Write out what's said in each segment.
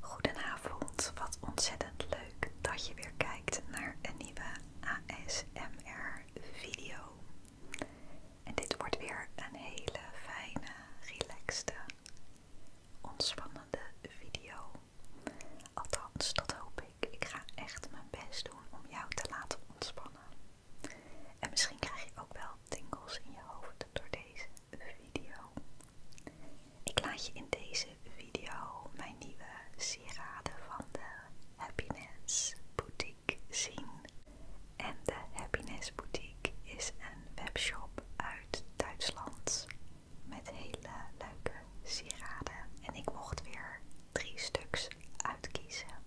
Goedenavond, wat ontzettend leuk dat je weer kijkt naar een nieuwe ASMR video. En dit wordt weer een hele fijne, relaxte, ontspannende video. Althans, dat hoop ik. Ik ga echt mijn best doen om jou te laten ontspannen. En misschien krijg je ook wel tingels in je hoofd door deze video. Ik laat je in deze video mijn nieuwe sieraden van de Happiness Boutique zien. En de Happiness Boutique is een webshop uit Duitsland met hele leuke sieraden. En ik mocht weer drie stuks uitkiezen.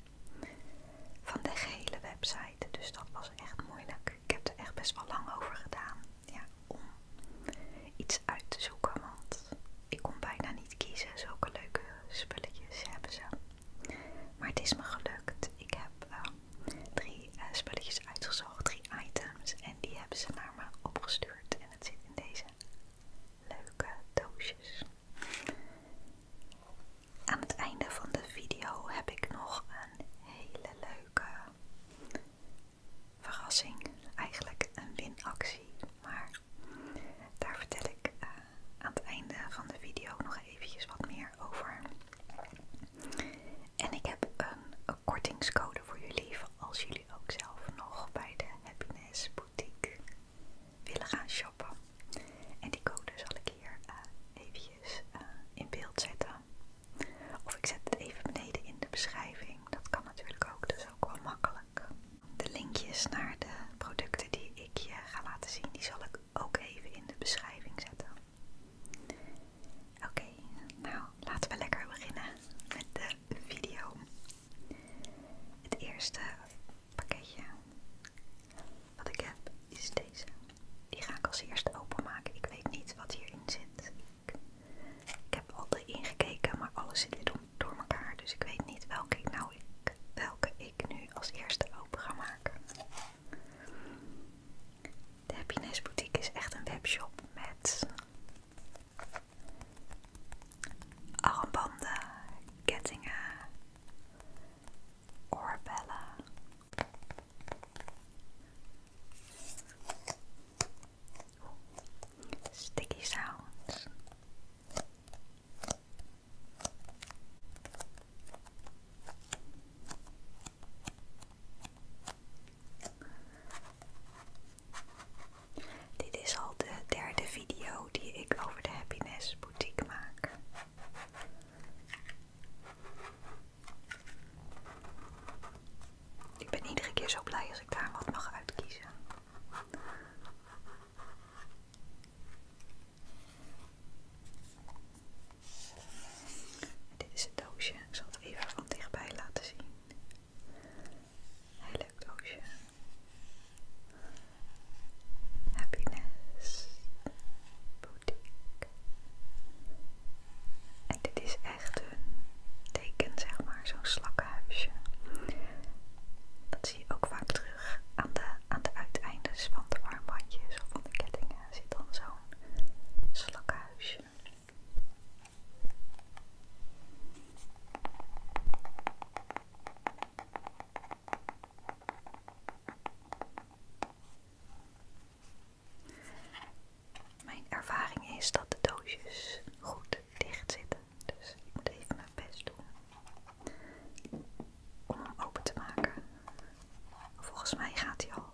Van de gehele website dus dat was echt moeilijk. Ik heb er echt best wel lang over gedaan om iets uit te zoeken. Want ik kon bijna niet kiezen. Zulke leuke spulletjes hebben ze. Maar het is me gelukt. Ik heb ehm, drie eh, spulletjes uitgezocht, drie items. En die hebben ze naar me opgestuurd. En het zit in deze leuke doosjes. Aan het einde van de video heb ik nog een hele leuke verrassing. Eigenlijk een winactie, maar daar vertel ik eh, aan het einde van de video nog eventjes wat meer over. En ik heb een, kortingscode voor jullie als jullie ook zelf nog bij de Happiness Boutique willen gaan shoppen. En die code zal ik hier even eh, eventjes eh, in beeld zetten. Of ik zet het even beneden in de beschrijving. Dat kan natuurlijk ook, dus ook wel makkelijk. De linkjes naar de producten die ik je ga laten zien, die zal ik ook even in de beschrijving zetten. Oké, nou laten we lekker beginnen met de video. Het eerste pakketje wat ik heb is deze. Die ga ik als eerste openmaken. Ik weet niet wat hierin zit. Ik, heb altijd ingekeken, maar alles zit weer door, elkaar. Dus ik weet niet welke nou welke ik nu als eerste open ga maken. De Happiness Boutique is echt een webshop met armbanden, kettingen, Orbella. Sticky sounds. Dit is al de derde video die ik over de Happiness Boutique maak. Ik ben iedere keer zo blij als ik daar wat mag uitkiezen. Dit is het doosje. Ik zal het even van dichtbij laten zien. Heel leuk doosje. Happiness. Boutique. En dit is echt een teken, zeg maar, zo'n slakkenhuisje. Dat zie je ook vaak terug aan de, aan de uiteindes van de armbandjes of van de kettingen. Zit dan zo'n slakkenhuisje. Mijn ervaring is dat de doosjes goed dicht zitten, dus ik moet even mijn best doen om hem open te maken. Volgens mij gaat hij al.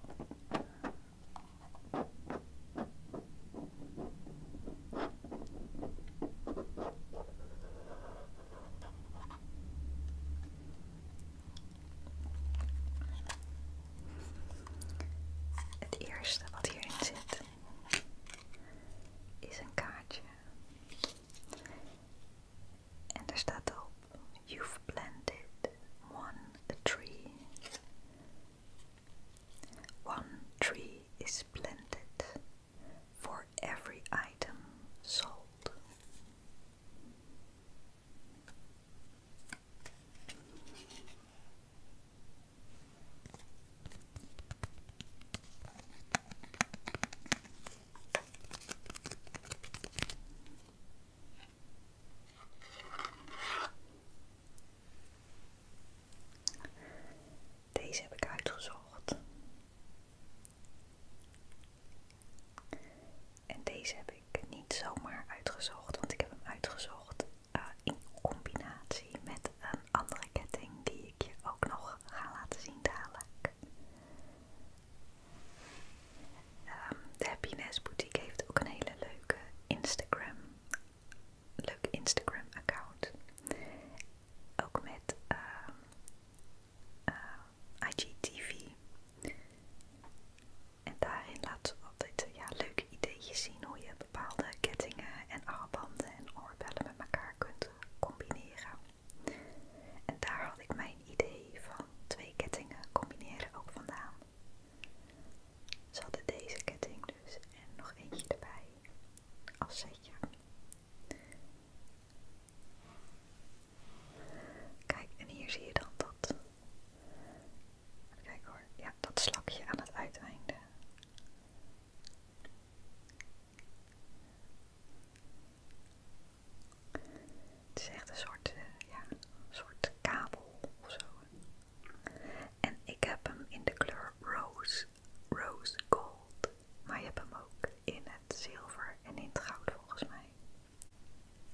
Het eerste wat hierin zit is een kaartje. En daar staat op: You've planted one tree. One tree is planted for every item sold. Deze heb ik uitgezocht. En deze heb ik niet zomaar uitgezocht, want ik heb hem uitgezocht eh, in combinatie met een andere ketting die ik je ook nog ga laten zien dadelijk. Ehm, de Happiness Boutique heeft ook een hele leuke Instagram, leuke Instagram account. Ook met ehm, eh, IGTV. En daarin laat ze altijd ja, leuke ideetjes zien hoe je bepaalde kettingen en armbanden en oorbellen met elkaar kunt combineren. En daar had ik mijn idee van twee kettingen combineren ook vandaan. Ze hadden deze ketting dus en nog eentje erbij als setje. Kijk, en hier zie je dan dat. Kijk hoor, ja, dat slakje aan het uiteinde. Het is echt een soort, eh, ja, soort kabel of zo. En ik heb hem in de kleur rose, rose gold. Maar je hebt hem ook in het zilver en in het goud volgens mij.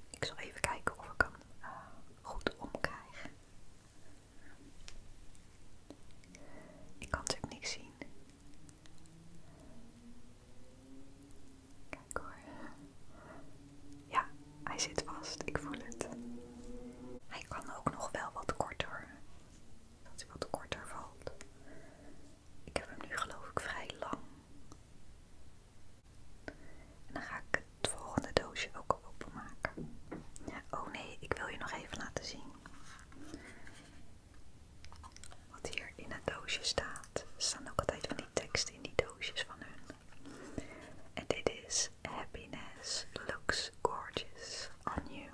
Ik zal even kijken of ik hem eh, goed omkrijg. Ik kan natuurlijk niks zien. Kijk hoor. Ja, hij zit vast. Ik voel het. Hij kan ook nog wel wat korter. Dat hij wat korter valt. Ik heb hem nu geloof ik vrij lang. En dan ga ik het volgende doosje ook openmaken. Oh nee, ik wil je nog even laten zien. Wat hier in het doosje staat. Er staan ook altijd van die teksten in die doosjes van hun. En dit is Happiness looks gorgeous on you.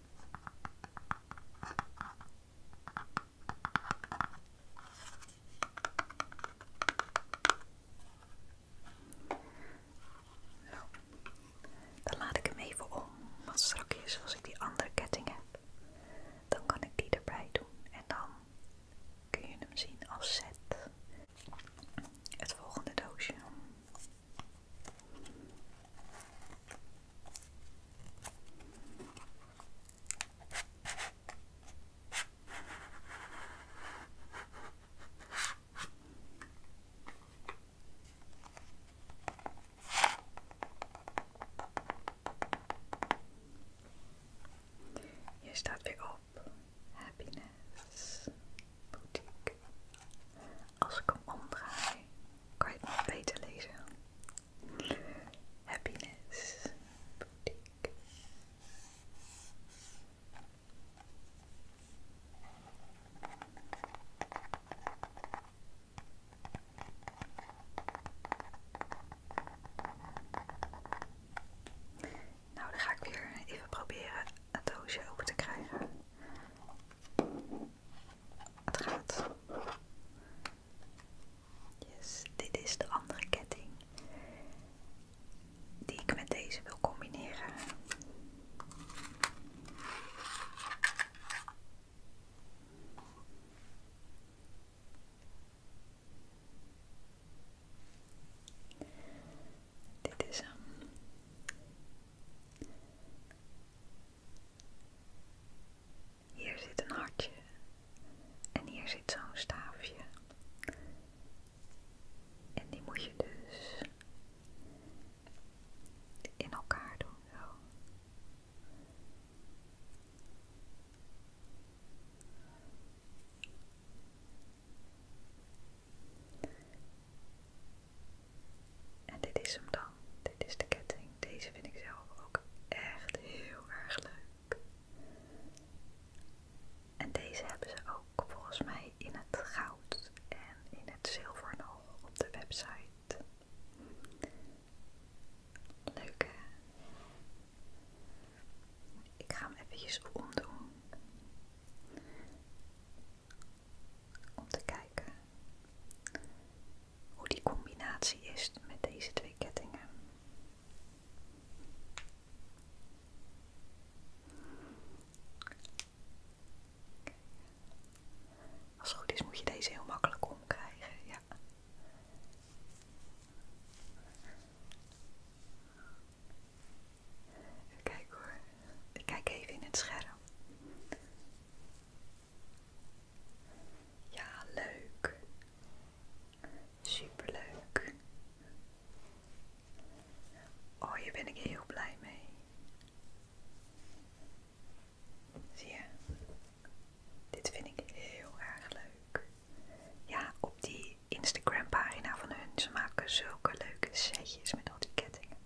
Zo. Nou, dan laat ik hem even om, wat straks als ik die andere ketting heb, dan kan ik die erbij doen en dan kun je hem zien als set. Het volgende doosje. Hier staat weer op Happiness Boutique. Als ik hem omdraai, kan je beter lezen. Happiness Boutique. Nou, dan ga ik weer even proberen het doosje open te krijgen het dit is de andere ketting die ik met deze wil combineren. Dit is hem. Hier zit een hartje en hier zit zo'n staafje. En die moet je dus in elkaar doen en dit is hem dan. Dit is de ketting. Deze vind ik zelf ook echt heel erg leuk. En deze hebben ze ook volgens mij in het goud en in het zilver nog op de website. Leuk hè? Ik ga hem eventjes omdoen om te kijken hoe die combinatie is met deze twee kettingen. Als het goed is moet je deze heel makkelijk omkrijgen, ja. hoor. Ik kijk even in het scherm. Ja, leuk. super leuk Oh, hier ben ik heel blij mee. Zie je? Dit vind ik heel erg leuk. Ja, op die Instagram pagina van hun. Ze maken zulke leuke setjes met al die kettingen.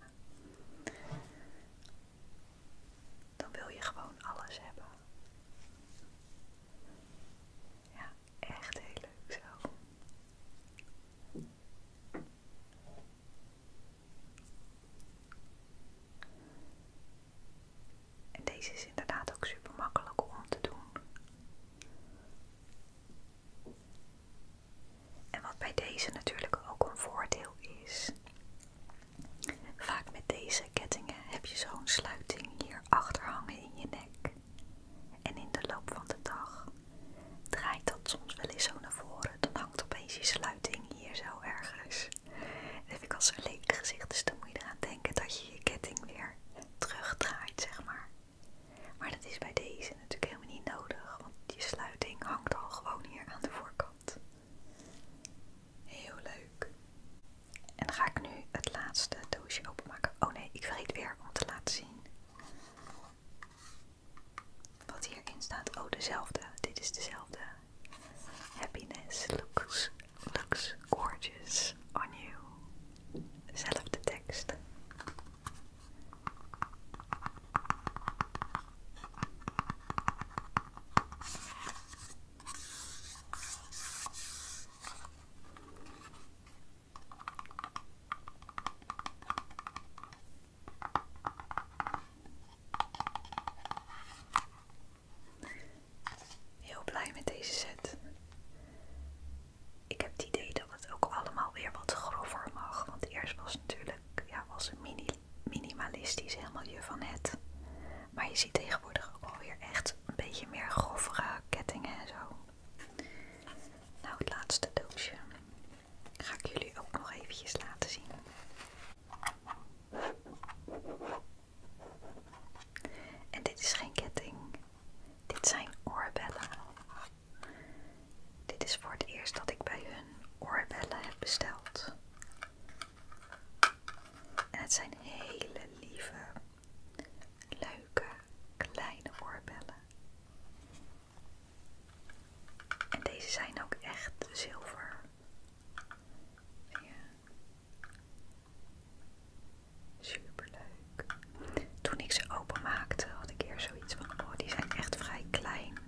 Dan wil je gewoon alles hebben. Ja, echt heel leuk zo. En deze is inderdaad ook super makkelijk om te doen. En wat bij deze natuurlijk ook een voordeel is. Vaak met deze kettingen heb je zo'n sluiting hier achter hangen in je nek. En in de loop van de dag draait dat soms wel eens zo naar voren. Dan hangt opeens die sluiting hier zo ergens. dan heb ik als een lelijk gezicht, dus dan moet je eraan denken dat je je ketting weer terugdraait, zeg maar. Maar dat is bij deze natuurlijk helemaal niet nodig, want die sluiting hangt al gewoon hier aan de voorkant. Heel leuk. En ga ik nu het laatste doosje openmaken. Oh nee, ik vergeet weer om te laten zien wat hierin staat. Oh, dezelfde. Dit is dezelfde. Happiness looks, looks gorgeous on you. Dezelfde tekst. Heel blij met deze set. Ik heb het idee dat het ook allemaal weer wat grover mag. Want eerst was natuurlijk ja, was een mini minimalistisch, helemaal je van het. Maar je ziet tegenwoordig ook alweer echt een beetje meer grovere kettingen en zo. Nou, het laatste doosje ga ik jullie ook nog eventjes laten zien. En dit is geen ketting, dit zijn oorbellen. Dit is voor het eerst dat ik bij hun oorbellen heb besteld. En het zijn hele lieve, leuke, kleine oorbellen. En deze zijn ook echt zilver. Ja. Super leuk. Toen ik ze openmaakte had ik eerst zoiets van: oh, die zijn echt vrij klein.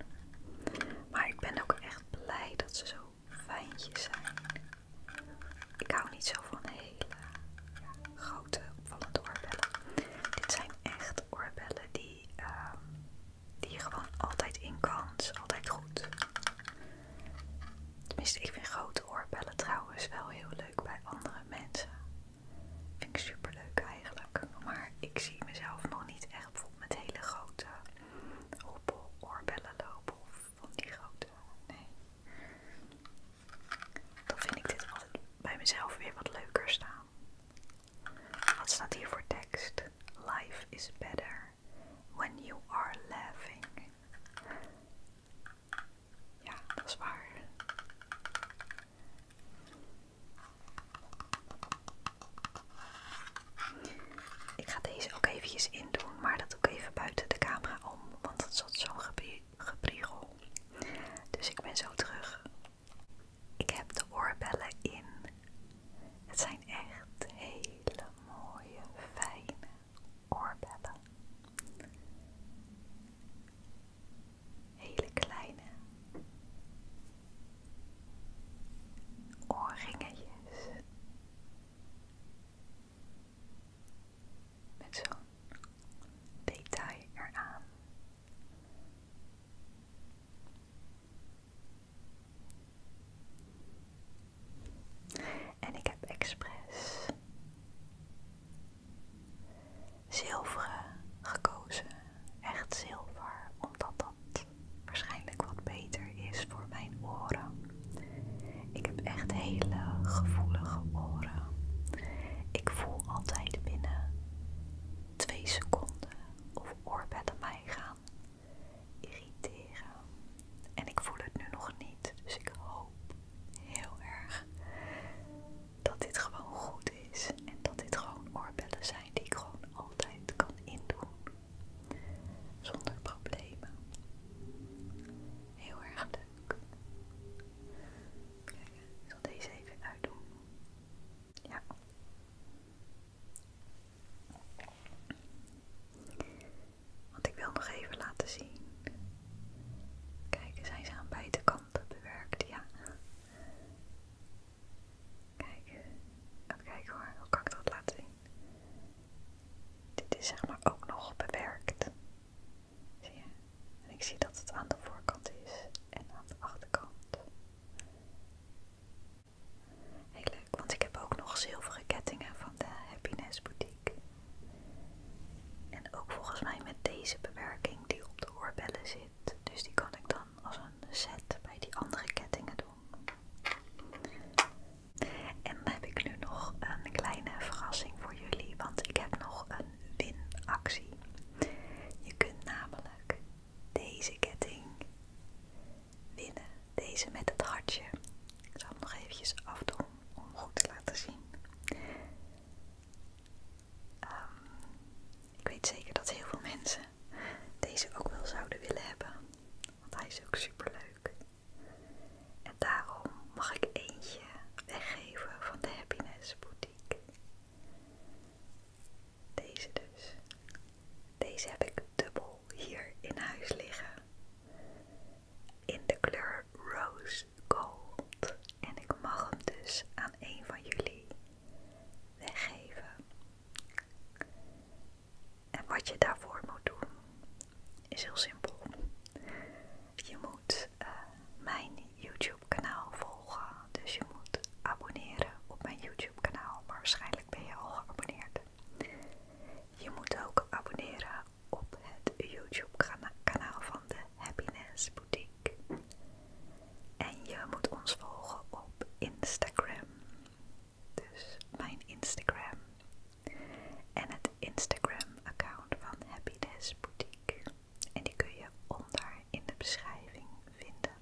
Maar ik ben ook echt blij dat ze zo fijntjes zijn. Ik hou niet zo van hele grote opvallende oorbellen. Dit zijn echt oorbellen die, ehm, die je gewoon altijd in kan. altijd goed. Tenminste, ik vind grote oorbellen trouwens wel heel leuk bij andere mensen. Vind ik super leuk eigenlijk. Maar ik zie mezelf nog niet echt met hele grote oorbellen lopen of van die grote. Nee. Dan vind ik dit altijd bij mezelf weer wat leuker staan. Wat staat hier voor tekst? Life is better when you are laughing. Ja, dat is waar. Ik ga deze ook eventjes in maar dat ook even buiten de camera om, want het zat zo'n gepriegel. Dus ik ben zo terug. Ik heb de oorbellen in. Het zijn echt hele mooie, fijne oorbellen hele kleine oorringetjes met zo'n detail eraan. En ik heb expres zilveren gekozen echt zilver, omdat dat waarschijnlijk wat beter is voor mijn oren. Ik heb echt hele gevoelige oren. Ik voel altijd binnen twee seconden of oorbellen mij gaan irriteren. En ik voel het nu nog niet, dus ik hoop heel erg dat dit gewoon goed en dat dit gewoon oorbellen zijn die ik gewoon altijd kan indoen. Zonder problemen. Heel erg leuk. Kijk, ik zal deze even uitdoen. Ja. Want ik wil nog even laten zien. Kijk, zijn ze aan beide kanten bewerkt, ja. Kijk, Even kijken hoor, hoe kan ik dat laten zien? Dit is zeg maar ook nog bewerkt. Zie je? En ik zie dat het aan de voorkant is en aan de achterkant. Heel leuk, want ik heb ook nog zilveren kettingen van de Happiness Boutique. En ook volgens mij met deze bewerking die op de oorbellen zit. Dus die kan ik dan als een set bij die andere kettingen doen. En dan heb ik nu nog een kleine verrassing voor jullie, want ik heb nog een winactie. Je kunt namelijk deze ketting winnen. Deze met het hartje. Ik zal hem nog eventjes afdoen om goed te laten zien. Ehm, ik weet zeker dat heel veel mensen deze ook wel zouden willen hebben. Want hij is ook super leuk. En daarom mag ik eentje weggeven van de Happiness Boutique. Deze dus. Deze heb ik dubbel hier in huis liggen. In de kleur Rose Gold. En ik mag hem dus aan een van jullie weggeven. En wat je daarvoor moet doen is heel simpel. Je moet eh, mijn YouTube kanaal volgen. Dus je moet abonneren op mijn YouTube kanaal. Maar waarschijnlijk ben je al geabonneerd. Je moet ook abonneren op het YouTube kanaal van de Happiness en je moet ons volgen op Instagram. Dus mijn Instagram. En het Instagram-account van Happiness Boutique. En die kun je onder in de beschrijving vinden.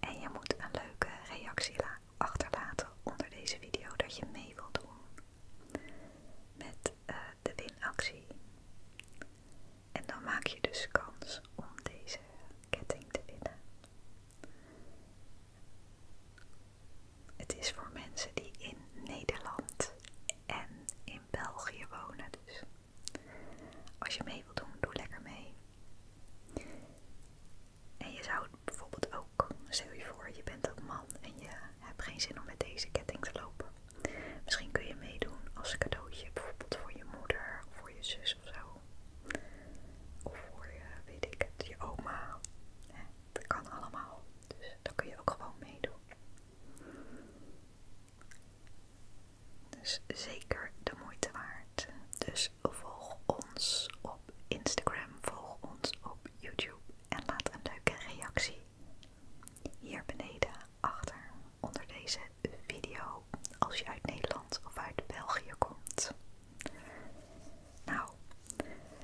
En je moet een leuke reactie achterlaten onder deze video dat je mee wilt doen met eh, de winactie. En dan maak je dus kans om deze ketting te winnen. Het is voor mensen die in Nederland en in België wonen. Dus als je mee wilt doen, doe lekker mee. En je zou bijvoorbeeld ook, stel je voor, je bent ook man en je hebt geen zin om met deze ketting te lopen. Misschien kun je meedoen als cadeautje, bijvoorbeeld voor je moeder of voor je zus of zo. Of voor je, weet ik je oma. dat kan allemaal. Dus dan kun je ook gewoon meedoen. Dus zeker de moeite waard. Dus volg ons op Instagram, volg ons op YouTube en laat een leuke reactie hier beneden achter onder deze video als je uit Nederland of uit België komt. Nou,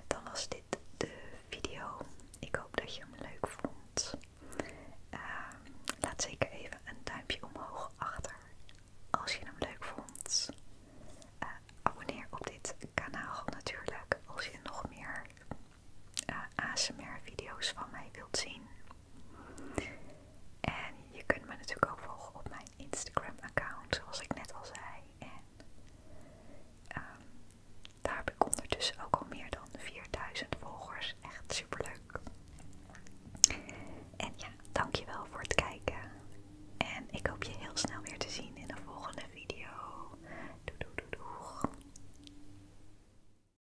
dan was dit de video. Ik hoop dat je hem leuk vond. Ehm, laat zeker even een duimpje omhoog achter als je hem leuk vond. Eh, abonneer op dit kanaal natuurlijk als je nog meer eh, ASMR video's van mij wilt zien. En je kunt me natuurlijk ook volgen op mijn Instagram-account, zoals ik net al zei. En ehm, daar heb ik ondertussen ook al meer dan 4000 volgers. Echt super leuk. En ja, dankjewel voor het kijken. En ik hoop je heel snel weer te zien in een volgende video. Doei doei doei